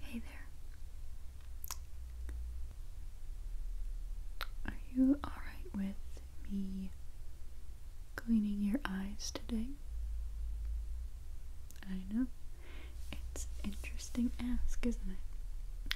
Hey there. Are you alright with me cleaning your eyes today? I know. It's interesting ask, isn't it?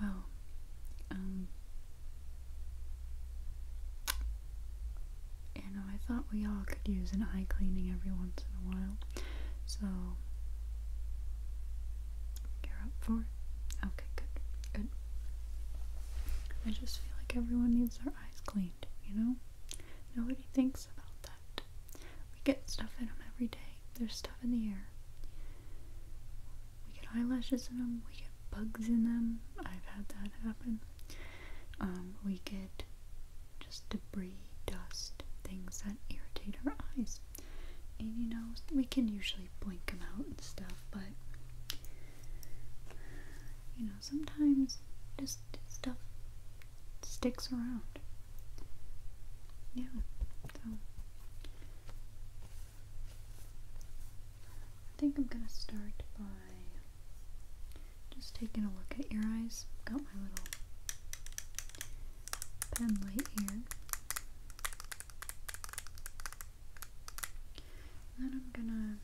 Well, um you know, I thought we all could use an eye cleaning every once in a while. So, you're up for it? Okay, good, good. I just feel like everyone needs their eyes cleaned, you know? Nobody thinks about that. We get stuff in them every day, there's stuff in the air. We get eyelashes in them, we get bugs in them. I've had that happen. Um, we get just debris, dust, things that irritate our eyes. And you know, we can usually blink them out and stuff, but you know, sometimes just stuff sticks around. Yeah, so I think I'm gonna start by just taking a look at your eyes. Got my little pen light here. then I'm gonna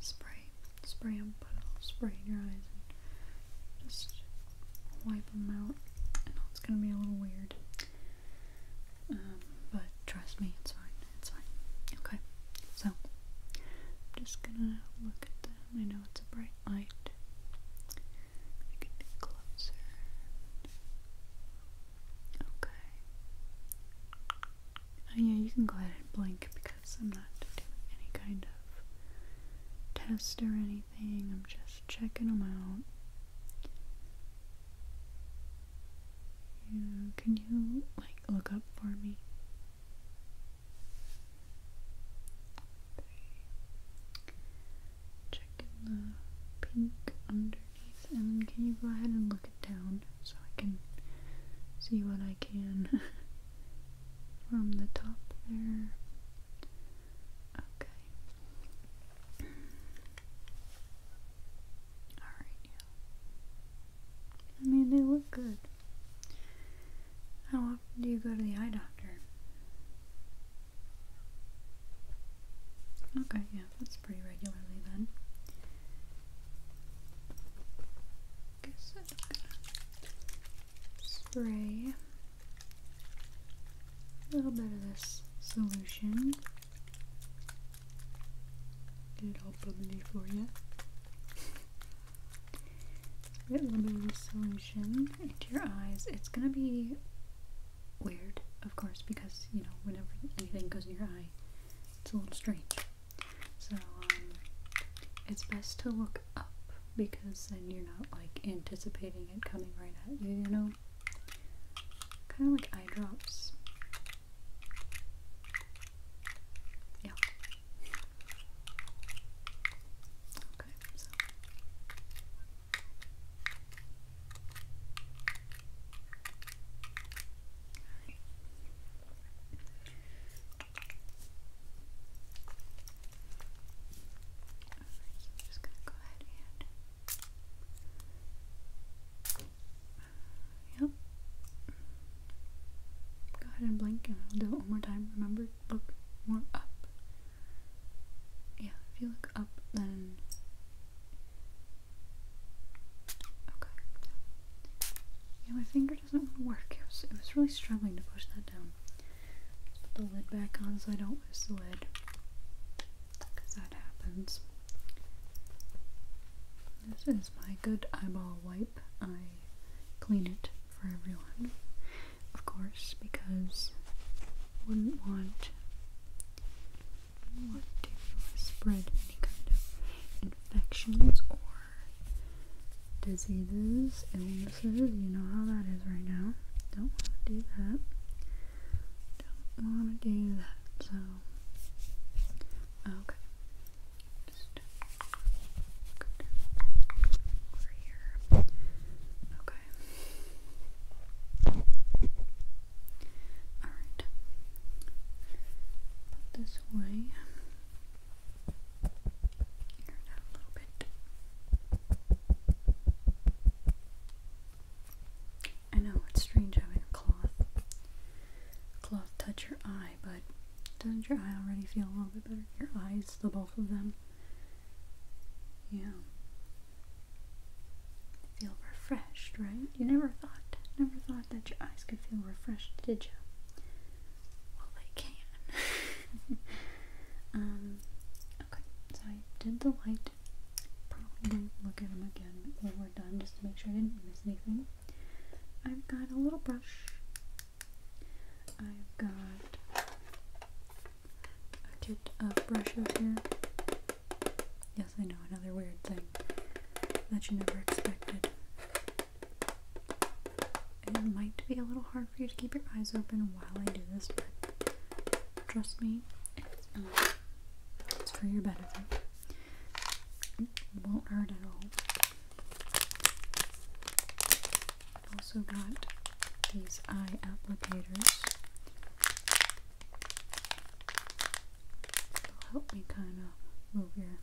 spray, spray them, put a little spray in your eyes and just wipe them out. I know it's gonna be a little weird, um, but trust me, it's fine. It's fine. Okay, so I'm just gonna look at the I know it's a bright light. I can get closer. Okay. Oh yeah, you can go ahead and blink because I'm not doing any kind of test or anything. I'm just checking them out. Yeah, can you like look up for me? Okay. the pink underneath, and can you go ahead and look it down so I can see what I can from the top there? Okay. Alright, yeah. I mean, they look good. How often do you go to the eye doctor? Okay, yeah, that's pretty regularly then. spray a little bit of this solution. Get it all bubbly for you. A little solution into your eyes. It's gonna be weird, of course, because you know whenever anything goes in your eye, it's a little strange. So um, it's best to look up because then you're not like anticipating it coming right at you. You know, kind of like eye drops. Yeah, Okay, so. Right. I'm just gonna go ahead and. Uh, yep. Go ahead and blink and I'll do it one more time. Remember, look more up. Yeah, if you look up, then. Okay. Yeah, my finger doesn't work. It was, really struggling to push that down. put the lid back on so I don't lose the lid. Because that happens. This is my good eyeball wipe. I clean it for everyone, of course, because wouldn't want want to spread any kind of infections or diseases, illnesses. You know how that is right now. Don't want to do that. Don't want to do that. So, okay over here. Okay. Alright. this away. Air it a little bit. I know it's strange having a cloth cloth touch your eye, but doesn't your eye already feel a little bit better? Your eyes, the both of them. Yeah. Feel refreshed, right? You never thought, never thought that your eyes could feel refreshed, did you? Well, they can. um, okay, so I did the light. Probably look at them again when we're done just to make sure I didn't miss anything. I've got a little brush I've got a kit of brushes here. Yes, I know, another weird thing that you never expected. It might be a little hard for you to keep your eyes open while I do this, but trust me, it's, um, it's for your benefit. It won't hurt at all. Also got these eye applicators. They'll help me kind of move your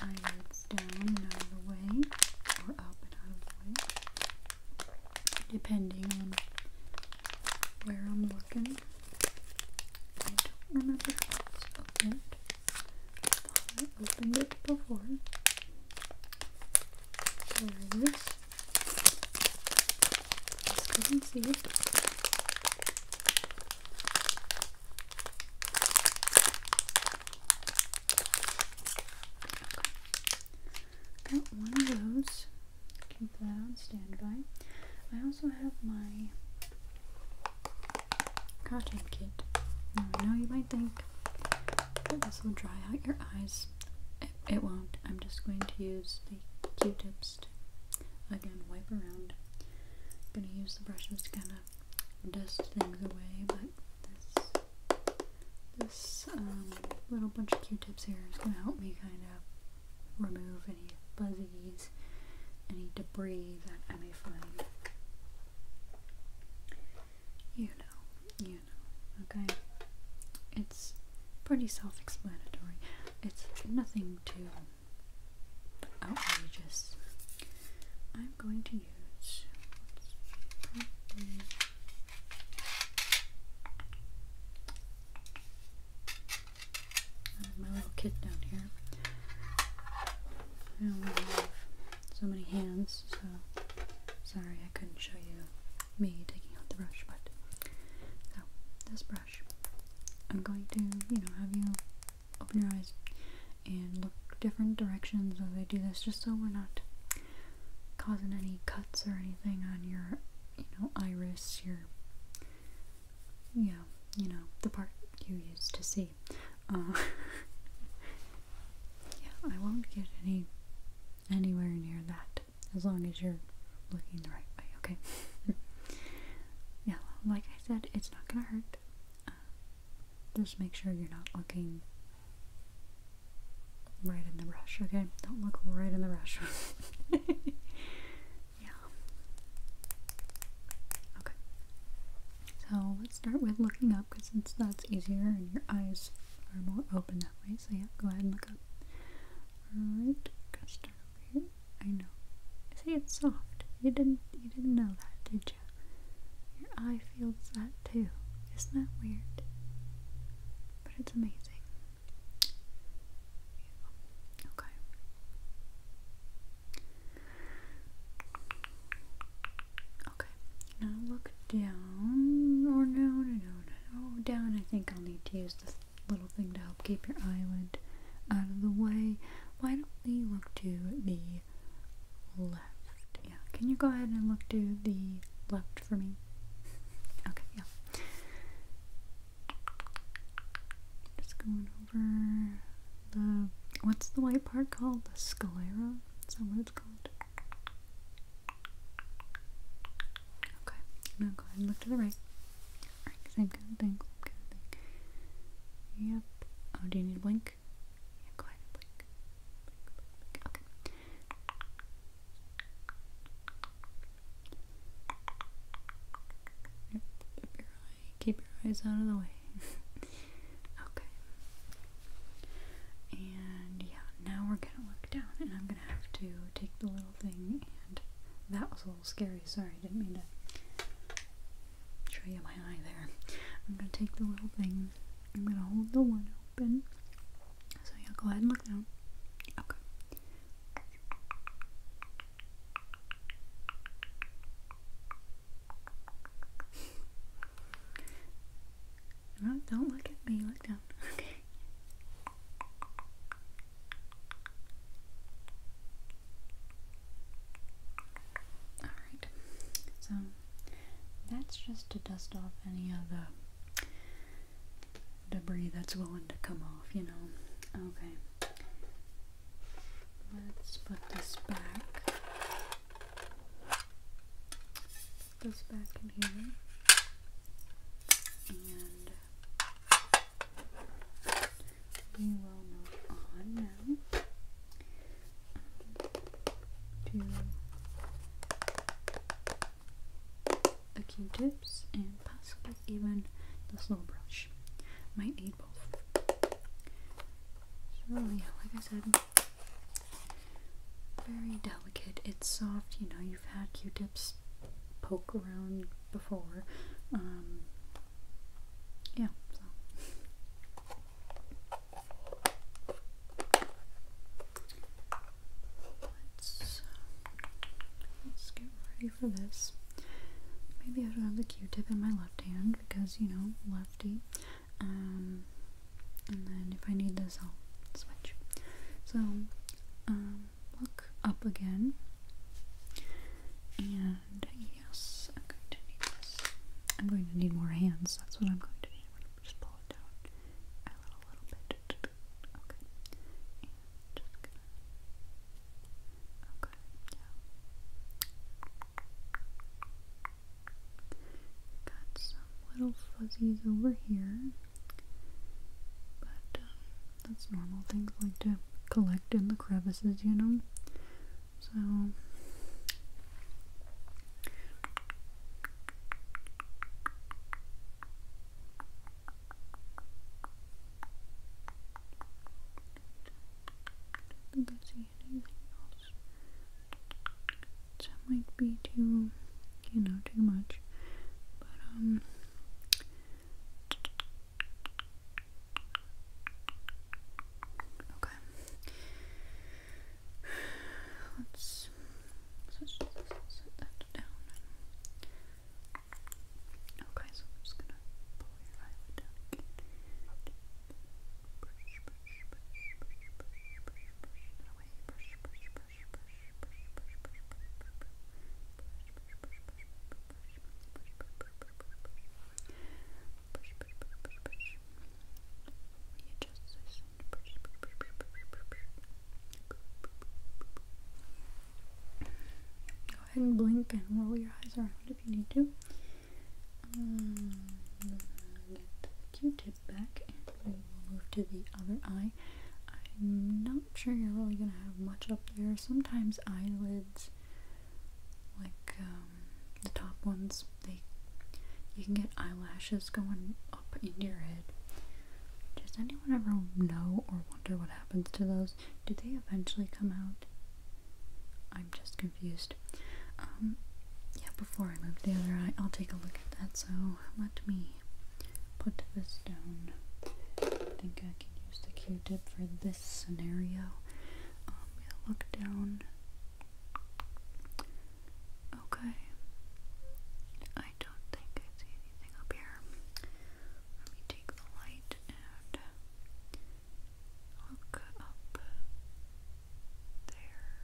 eyelids down and out of the way, or up and out of the way, depending on where I'm looking. I don't remember if it's opened opened it before. There Let's go and see Got one of those. Keep that on standby. I also have my Cotton Kit. Now I know you might think that this will dry out your eyes. It, won't. I'm just going to use the Q-tips to, again, wipe around. I'm going to use the brushes to kind of dust things away, but this, this um, little bunch of Q-tips here is going to help me kind of remove any fuzzies, any debris that I may find. You know, you know, okay? It's pretty self explanatory. It's nothing too outrageous. I'm going to use. my little kit down here. I only have so many hands, so sorry I couldn't show you me taking out the brush, but so this brush, I'm going to, you know, have you open your eyes and look different directions as I do this, just so we're not causing any cuts or anything on your, you know, iris, your, yeah, you know, the part you use to see. Uh, yeah, I won't get any anywhere near that as long as you're looking the right way. Okay. yeah, like I said, it's not gonna hurt. Uh, just make sure you're not looking right in the brush. Okay, don't look right in the brush. yeah. Okay. So let's start with looking up. Cause because that's easier and your eyes are more open that way. So yeah, go ahead and look up. Alright, gonna start over here. I know. See it's soft. You didn't you didn't know that, did you? Your eye feels that too. Isn't that weird? But it's amazing. Okay. Okay, now look down. Or no, no, no, no. Oh, down. I think I'll need to use this little thing to help keep your eyelid out of the way. Why don't we look to the left? Yeah, can you go ahead and look to the left for me? okay, yeah. Just going over the what's the white part called? The sclera? Is that what it's called? Okay, now go ahead and look to the right. Alright, same kind of thing, same kind of thing. Yep. Oh, do you need to blink? go ahead and blink. Okay. keep your eyes out of the way. Okay. And yeah, now we're gonna look down and I'm gonna have to take the little thing and that was a little scary, sorry, I didn't mean to show you my eye there. I'm gonna take the little thing, I'm gonna hold the one open. So yeah, go ahead and look down. Okay don't look at me, look down. Okay. Alright, so that's just to dust off any of the debris that's willing to come off, you know. Okay. Let's put this back this back in here. And we will move on now um, to the Q-tips and possibly even the slow brush. Might need both. So yeah, like I said, very delicate. It's soft. You know, you've had Q-tips poke around before. Um, yeah, so. Let's, um, let's get ready for this. Maybe I should have the Q-tip in my left hand because, you know, lefty. Um, and then if I need this I'll switch so um, look up again and yes I'm going to need this I'm going to need more hands that's what I'm going to need i just pull it down a little, bit okay okay yeah Got some little fuzzies over here, but um, that's normal. Things like to collect in the crevices, you know. So that might be too, you know, too much. But, um, okay. Let's, set that down. Okay, so I'm just gonna pull your eyelid down Go ahead and blink and roll your eyes around if you need to. Um, get the Q-tip back, and we will move to the other eye. I'm not sure you're really gonna have much up there. Sometimes eyelids, like um, the top ones, they you can get eyelashes going up in your head. Does anyone ever know or wonder what happens to those? Do they eventually come out? I'm just gonna confused. Um, yeah, before I move the other eye, I'll take a look at that, so let me put this down. I think I can use the q-tip for this scenario. Um, look down. Okay. I don't think I see anything up here. Let me take the light and look up there.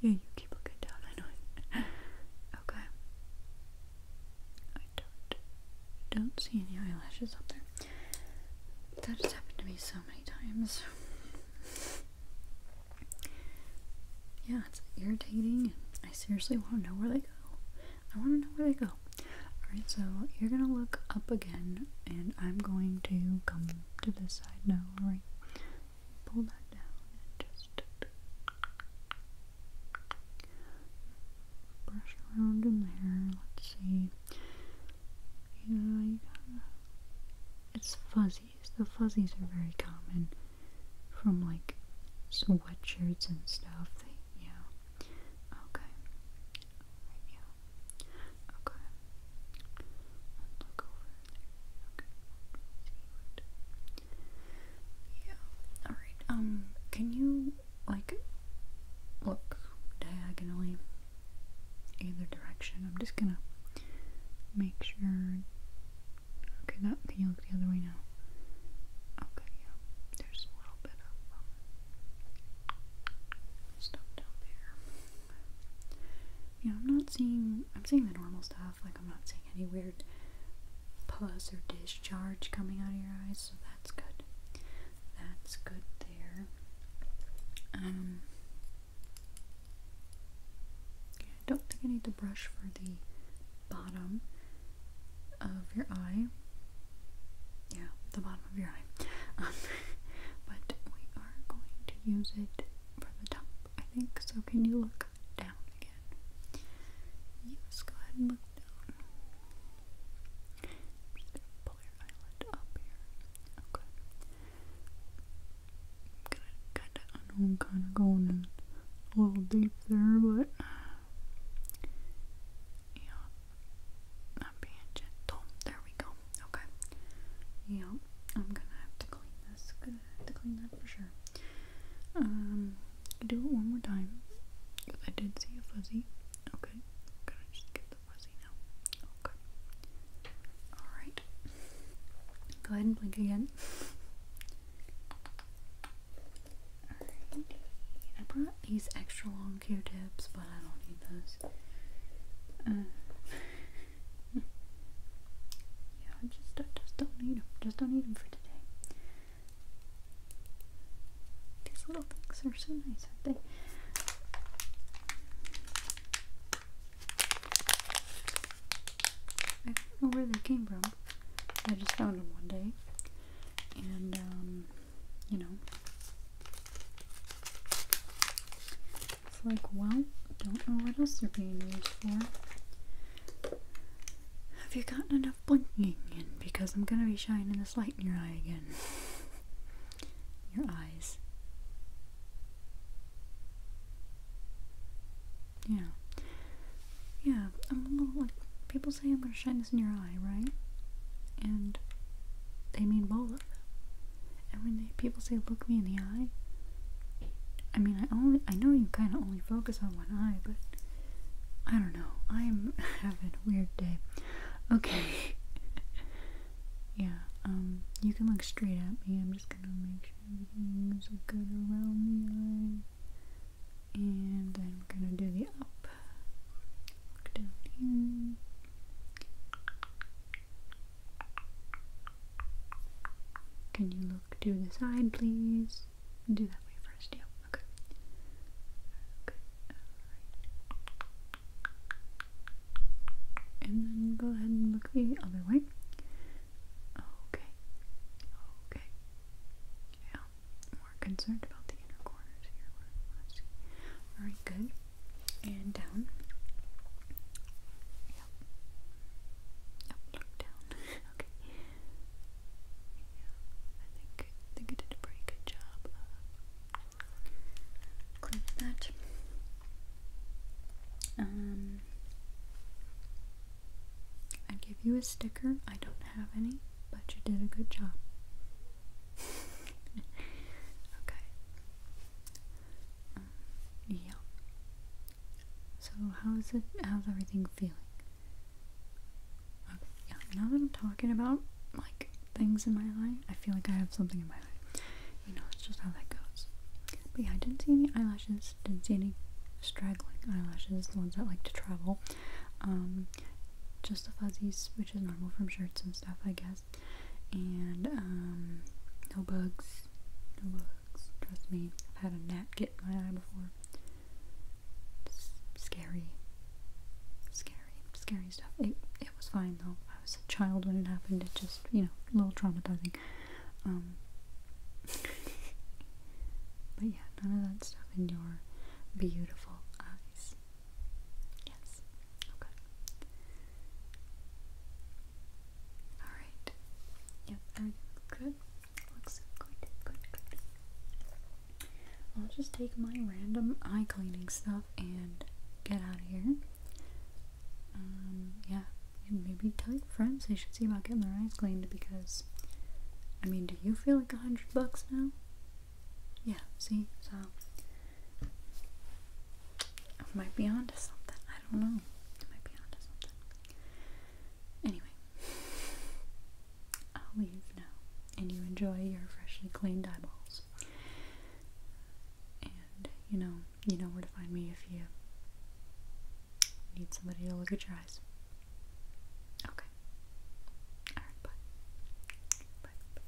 Yeah, you keep looking down, I know. okay. I don't don't see any eyelashes up there. That has happened to me so many times. yeah, it's irritating. I seriously want to know where they go. I want to know where they go. Alright, so you're gonna look up again, and I'm going to come to this side now, alright? Pull that down and just brush around in there. Let's see. Yeah, It's fuzzies. The fuzzies are very common from like sweatshirts and stuff. They, yeah. Okay. yeah. Okay. look over there. Okay. See what Yeah. Alright, um, can you like look diagonally either direction? I'm just gonna make sure Okay, that can you look the other way now? Okay, yeah. There's a little bit of um, stuff down there. You I'm not seeing, I'm seeing the normal stuff, like I'm not seeing any weird pus or discharge coming out of your eyes, so that's good. That's good there. Um, I don't think I need to brush for the bottom of your eye. Yeah, the bottom of your eye. Um, but we are going to use it from the top, I think. So can you look down again? Yes, go ahead and look down. just pull your eyelid up Okay. kinda kinda going a little deep but yeah. i being gentle. There we go. Okay. Yeah, I'm gonna have to clean this. Gonna have to clean that for sure. Um, do it one more time. I did see a fuzzy. Okay. Gonna just get the fuzzy now. Okay. All right. Go ahead and blink again. Alright. I brought these extra long Q-tips, but I don't need those. Uh, yeah, I just, I just don't need them. Just don't need them for today. These little things are so nice, aren't they? I don't know where they came from. I just found them one day. And, um, you know. It's like, well, don't know what else they're being used for. Have you gotten enough blinking in? Because I'm gonna be shining this light in your eye again. your eyes. Yeah. Yeah, I'm a little like people say I'm gonna shine this in your eye, right? And they mean both. And when people say, look me in the eye, I mean, I only, I know you kind of only focus on one eye, but I don't know. I'm having a weird day. Okay. yeah, um, you can look straight at me. I'm just gonna make sure everything is good around the eye. And I'm gonna do the up. down here. Can you look to the side, please? Do that way first, Yep. Okay. Okay, alright. And then go ahead and look the other way. Okay. Okay. Yeah. More concerned about the inner corners here. Alright, good and down. Yep. down. okay. Yeah, I think I think I did a pretty good job of that. Um, I'd give you a sticker. I don't have any, but you did a good job. okay yeah. So how is it? How's everything feeling? Now that I'm talking about like things in my eye, I feel like I have something in my eye. You know, it's just how that goes. But yeah, I didn't see any eyelashes. Didn't see any straggling eyelashes, the ones that like to travel. Um, just the fuzzies, which is normal from shirts and stuff, I guess. And um, no bugs. No bugs. Trust me. I've had a gnat get in my eye before. scary. Scary. Scary stuff. It, it was fine though. I was a child when it happened. It just, you know, a little traumatizing. Um, but yeah, none of that stuff in your beautiful eyes. Yes. Okay. Alright. Yep, everything's good. Looks good, good, good. I'll just take my random eye cleaning stuff and get out of here. Um, yeah. And maybe tell your friends they should see about getting their eyes cleaned because, I mean, do you feel like a hundred bucks now? Yeah, see? So, I might be onto something. I don't know. I might be onto something. Anyway, I'll leave now. And you enjoy your freshly cleaned eyeballs. And you know, you know where to find me if you need somebody to look at your eyes. Okay. Alright, bye. Bye. bye.